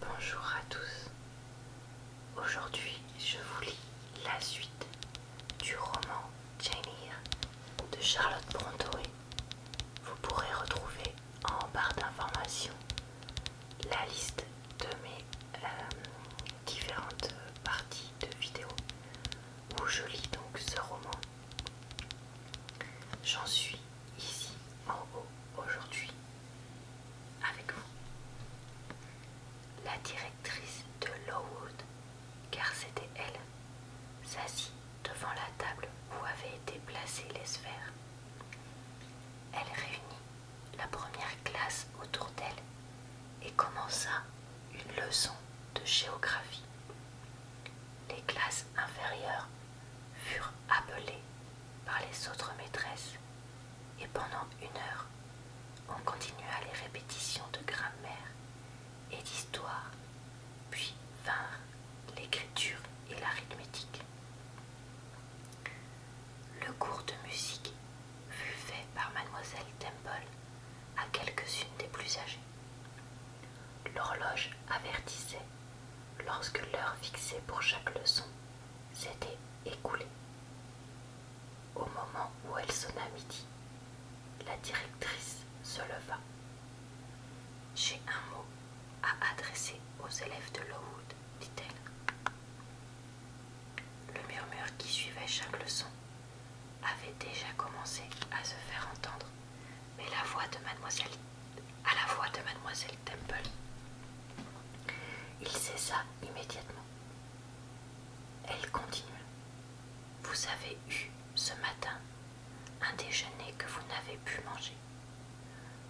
Bonjour à tous. Aujourd'hui, je vous lis la suite du roman Jane Eyre de Charlotte Brontë. Vous pourrez retrouver en barre d'information la liste de mes euh, différentes parties de vidéos où je lis donc ce roman. J'en suis ici en haut aujourd'hui avec vous. La directrice de Lowood, car c'était elle, s'assit devant la table où avaient été placées les sphères. Elle réunit la première classe autour d'elle et commença une leçon de géographie. Les classes inférieures furent appelés par les autres maîtresses et pendant une heure on continua les répétitions de grammaire et d'histoire, puis vinrent l'écriture et l'arithmétique. Le cours de musique fut fait par mademoiselle Temple à quelques-unes des plus âgées. L'horloge avertissait lorsque l'heure fixée pour chaque leçon s'était écoulée. Au moment où elle sonna midi, la directrice se leva. J'ai un mot à adresser aux élèves de Lowood, dit-elle. Le murmure qui suivait chaque leçon avait déjà commencé à se faire entendre, mais la voix de mademoiselle à la voix de mademoiselle Temple. Il cessa immédiatement. Elle continue. Vous avez eu ce matin un déjeuner que vous n'avez pu manger.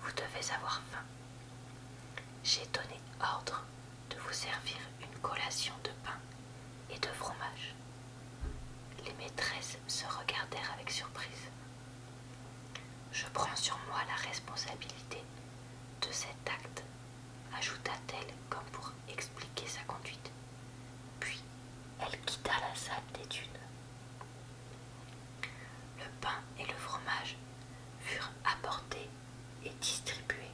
Vous devez avoir faim. J'ai donné ordre de vous servir une collation de pain et de fromage. Les maîtresses se regardèrent avec surprise. Je prends sur moi la responsabilité de cet acte, ajouta-t-elle comme pour expliquer sa conduite. Puis elle quitta la salle d'études. Le pain et le fromage furent apportés et distribués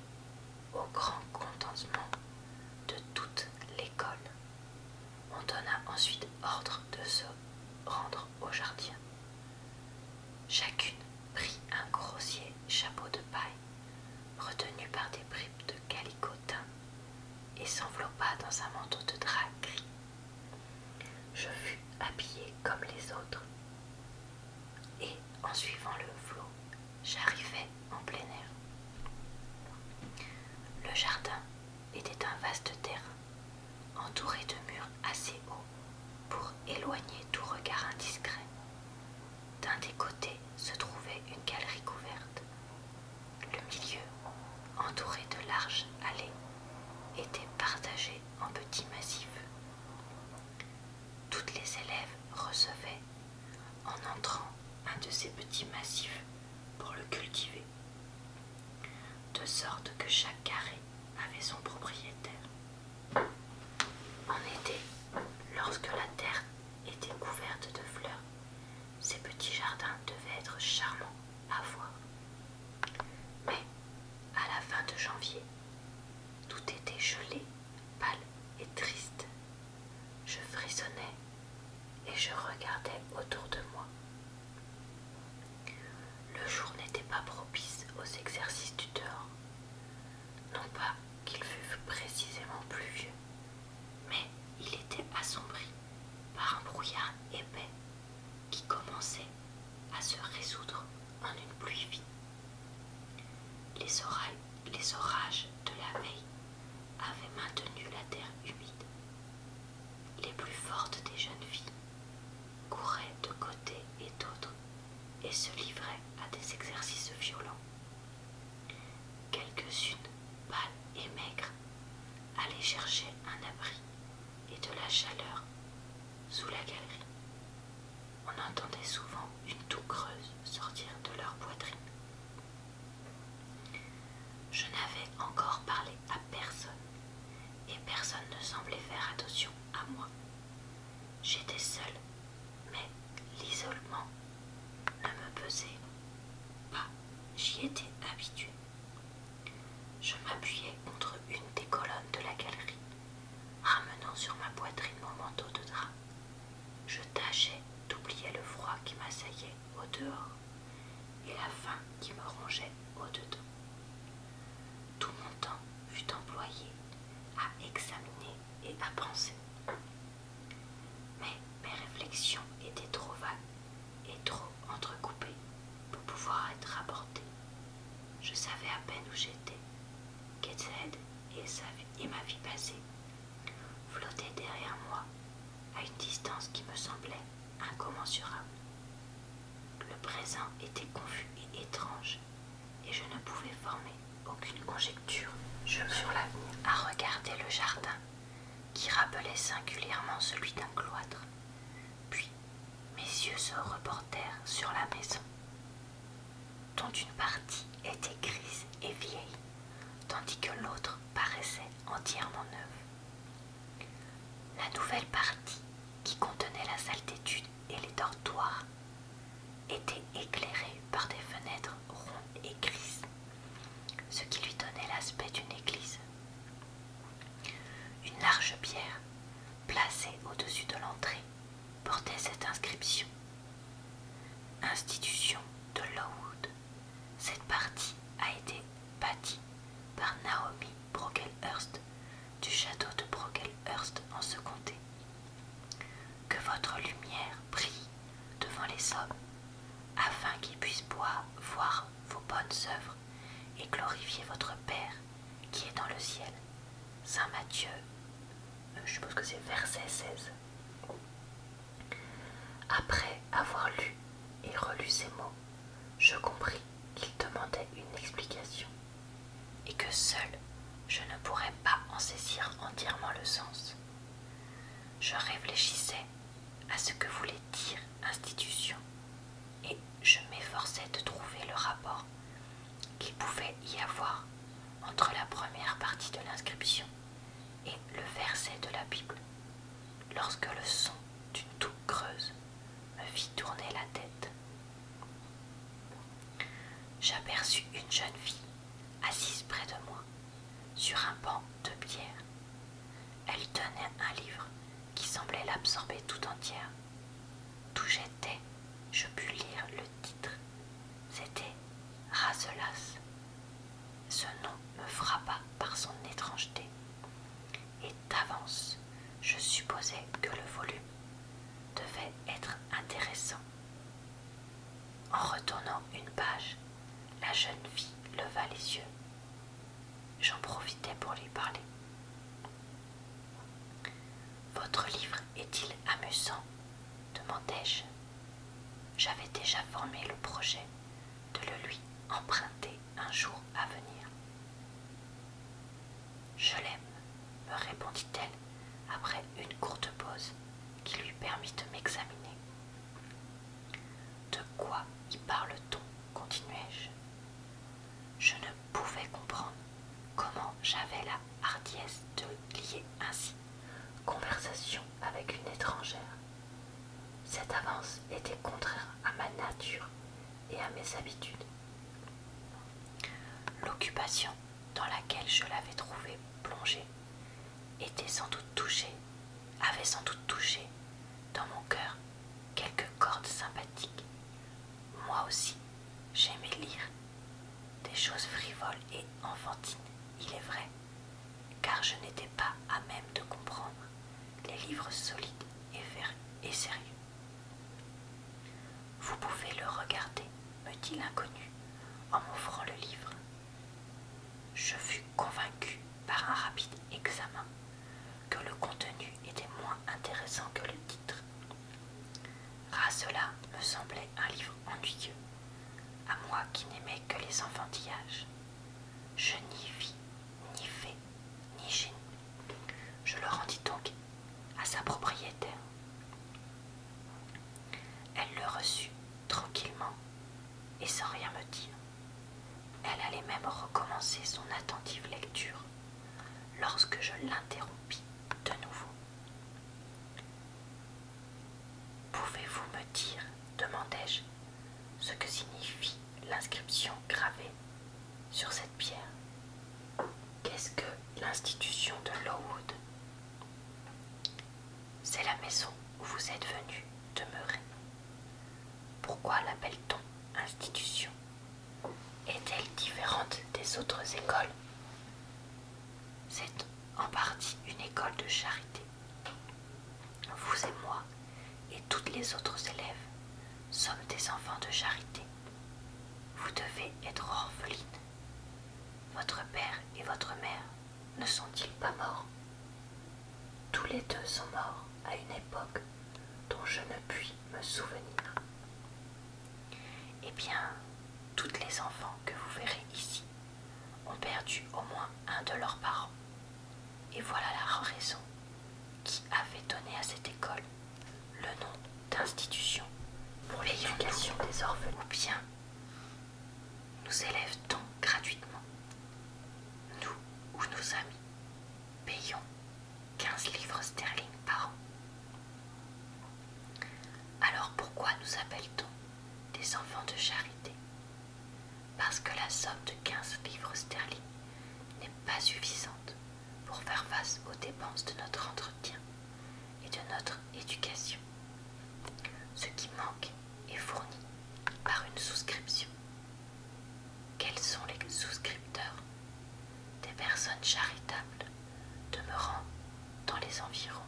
au grand contentement de toute l'école. On donna ensuite ordre de se rendre au jardin. Chacune prit un grossier chapeau de paille, retenu par des bribes de calicotin, et s'enveloppa dans un manteau de drap gris. Je fus habillée comme les autres, et en suivant le flot, j'arrivai en plein air. Le jardin était un vaste terrain, entouré de murs assez hauts pour éloigner tout regard indiscret. D'un des côtés se trouvait une galerie couverte. Le milieu, entouré de larges allées, était partagé en petits massifs. Toutes les élèves recevaient, en entrant, un de ces petits massifs pour le cultiver de sorte que chaque carré avait son propriétaire. En été, lorsque la terre était couverte de fleurs, ces petits jardins devaient être charmants à voir. Mais à la fin de janvier, tout était gelé, pâle et triste. Je frissonnais et je regardais autour de moi le jour n'était pas propice aux exercices du dehors. Non pas qu'il fût précisément pluvieux, mais il était assombri par un brouillard épais qui commençait à se résoudre en une pluie Les, les orages de la veille avaient maintenu la terre humide. Les plus fortes des jeunes filles couraient de côté et d'autre et se livraient à des exercices violents. Quelques-unes, pâles et maigres, allaient chercher un abri et de la chaleur sous la galerie. On entendait souvent une toux creuse sortir de leur poitrine. Je n'avais encore parlé à personne, et personne ne semblait faire attention à moi. J'étais seule, mais l'isolement ne me pesait pas, j'y étais habituée. Je m'appuyais contre une des colonnes de la galerie, ramenant sur ma poitrine mon manteau de drap. Je tâchais d'oublier le froid qui m'assaillait au dehors et la faim qui me rongeait au-dedans. Tout mon temps fut employé à examiner et à penser. Mais mes réflexions étaient trop vagues et trop entrecoupées pour pouvoir être rapportées. Je savais à peine où j'étais. que et, et ma vie passée flottaient derrière moi à une distance qui me semblait incommensurable. Le présent était confus et étrange, et je ne pouvais former aucune conjecture. Je me suis à regarder le jardin, qui rappelait singulièrement celui d'un cloître. Puis mes yeux se reportèrent sur la maison, dont une partie était grise et vieille, tandis que l'autre paraissait entièrement neuve. La nouvelle partie, qui contenait la salle d'études et les dortoirs, était éclairée par des fenêtres rondes et grises, ce qui lui donnait l'aspect d'une église. Une large pierre, placée au-dessus de l'entrée, portait cette inscription. Institution de Lowood. Cette partie a été bâti par Naomi Brockelhurst du château de Brockelhurst en ce comté. Que votre lumière brille devant les hommes, afin qu'ils puissent boire, voir vos bonnes œuvres et glorifier votre Père qui est dans le ciel. Saint Matthieu, euh, je suppose que c'est verset 16. Après avoir lu et relu ces mots, je compris qu'il demandait une explication, et que seul je ne pourrais pas en saisir entièrement le sens. Je réfléchissais à ce que voulait dire institution, et je m'efforçais de trouver le rapport qu'il pouvait y avoir entre la première partie de l'inscription et le verset de la Bible. Lorsque le d'une toux creuse me fit tourner la tête. J'aperçus une jeune fille assise près de moi, sur un banc de pierre. Elle tenait un livre qui semblait l'absorber tout entière. D'où j'étais, je pus lire le titre. C'était Rasselas ». Ce nom me frappa par son étrangeté, d'avance. Je supposais que le volume devait être intéressant. En retournant une page, la jeune fille leva les yeux. J'en profitais pour lui parler. Votre livre est-il amusant demandai-je. J'avais déjà formé le projet de le lui emprunter un jour à venir. Je l'aime, me répondit-elle après une courte pause qui lui permit de m'examiner. De quoi y parle-t-on continuai-je. Je ne pouvais comprendre comment j'avais la hardiesse de lier ainsi conversation avec une étrangère. Cette avance était contraire à ma nature et à mes habitudes. L'occupation dans laquelle je l'avais trouvé plongée était sans doute touchée, avait sans doute touché dans mon cœur quelques cordes sympathiques. Moi aussi, j'aimais lire des choses frivoles et enfantines, il est vrai, car je n'étais pas à même de comprendre les livres solides et, sérieux. Vous pouvez le regarder, me dit l'inconnu en m'offrant le livre. Je fus convaincu par un rapide examen que le contenu était moins intéressant que le titre. À cela me semblait un livre ennuyeux, à moi qui n'aimais que les enfantillages. Je n'y vis ni fais, ni gêne. Je le rendis donc à sa propriétaire. Elle le reçut tranquillement et sans rien me dire. Elle allait même recommencer son attentive lecture lorsque je l'interrompis de nouveau. Pouvez-vous me dire, demandai-je, ce que signifie l'inscription gravée sur cette pierre. Qu'est-ce que l'institution de Lowood C'est la maison où vous êtes venu demeurer. Pourquoi l'appelle-t-on institution Est-elle différente des autres écoles C'est en partie une école de charité vous et moi, et toutes les autres élèves, sommes des enfants de charité. Vous devez être orpheline. Votre père et votre mère ne sont-ils pas morts Tous les deux sont morts à une époque dont je ne puis me souvenir. Eh bien, toutes les enfants que vous verrez ici ont perdu au moins un de leurs parents. Et voilà la raison qui avait donné à cette école le nom d'institution pour l'éducation des orphelins. Ou bien nous élève-t-on gratuitement Nous ou nos amis payons 15 livres sterling par an. Alors pourquoi nous appelle-t-on des enfants de charité parce que la somme de 15 livres sterling n'est pas suffisante pour faire face aux dépenses de notre entretien et de notre éducation. Ce qui manque est fourni par une souscription. Quels sont les souscripteurs Des personnes charitables demeurant dans les environs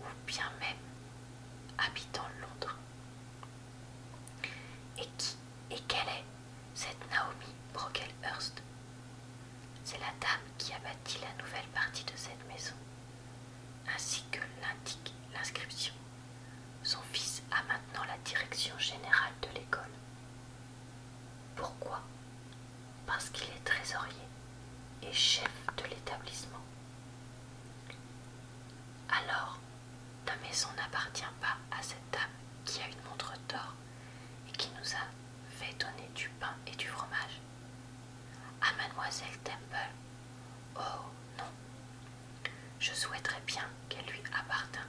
ou bien même habitant Londres. Et qui et quelle est cette Naomi Brockelhurst C'est la dame qui a bâti la nouvelle partie de cette maison, ainsi que l'indique l'inscription. Son fils a maintenant la direction générale de l'école. Pourquoi Parce qu'il est trésorier et chef de l'établissement. Alors, ta maison n'appartient pas à cette dame qui a une montre d'or et qui nous a fait donner du pain et du fromage. À ah, mademoiselle Temple. Oh non. Je souhaiterais bien qu'elle lui appartienne,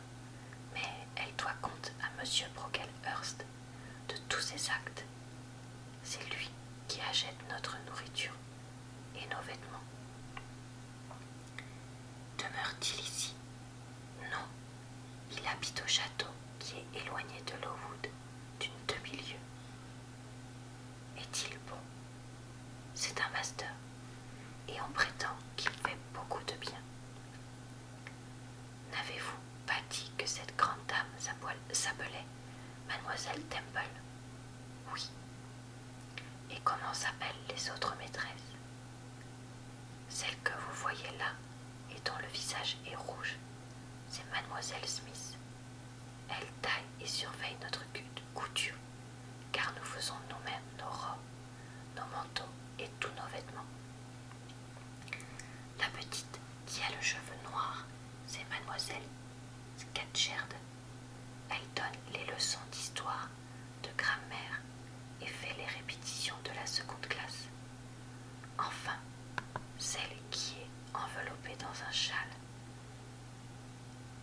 mais elle doit compte à monsieur Brocklehurst de tous ses actes. C'est lui qui achète notre nourriture et nos vêtements. Demeure-t-il ici Non. Il habite au château qui est éloigné de Lowood d'une demi-lieue. Est-il bon C'est un master et on prétend qu'il fait beaucoup de bien. N'avez-vous pas dit que cette grande dame s'appelait Mademoiselle Temple Oui, et comment s'appellent les autres maîtresses Celle que vous voyez là et dont le visage est rouge, c'est mademoiselle Smith. Elle taille et surveille notre couture, car nous faisons nous-mêmes nos robes, nos manteaux et tous nos vêtements. La petite qui a le cheveu noir, c'est mademoiselle Scatcherd. Elle donne les leçons d'histoire, de grammaire et fait les répétitions de la seconde classe. Enfin, celle qui est enveloppée dans un châle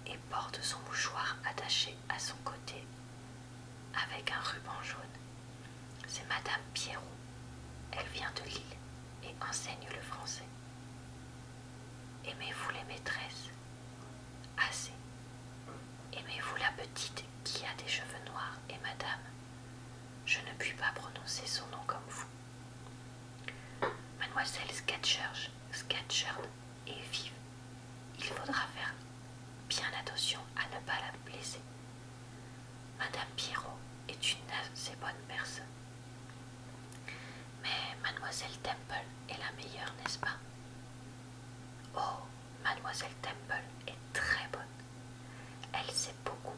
et porte son mouchoir attaché à son côté avec un ruban jaune. C'est Madame Pierrot. Elle vient de Lille et enseigne le français. Aimez-vous les maîtresses Assez. Aimez-vous la petite qui a des cheveux noirs et madame Je ne puis pas prononcer son nom comme vous. Mademoiselle Sketchers, est vive. Il faudra faire bien attention à ne pas la blesser. Madame Pierrot est une assez bonne personne. Mais mademoiselle Temple est la meilleure, n'est-ce pas Oh, mademoiselle Temple est très bonne. Elle sait beaucoup.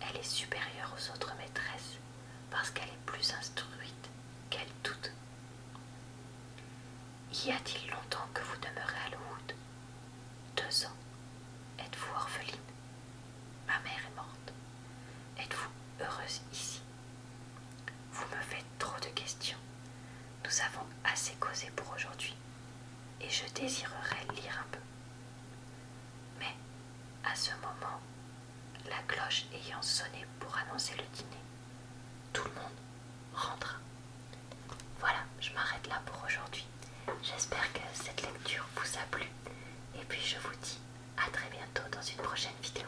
Elle est supérieure aux autres maîtresses parce qu'elle est plus instruite qu'elle toutes. Y a-t-il longtemps que vous demeurez à lewood Deux ans. Êtes-vous orpheline Ma mère est morte. Êtes-vous heureuse ici vous me faites trop de questions. Nous avons assez causé pour aujourd'hui, et je désirerais lire un peu. Mais, à ce moment, la cloche ayant sonné pour annoncer le dîner, tout le monde rentra. Voilà, je m'arrête là pour aujourd'hui. J'espère que cette lecture vous a plu, et puis je vous dis à très bientôt dans une prochaine vidéo.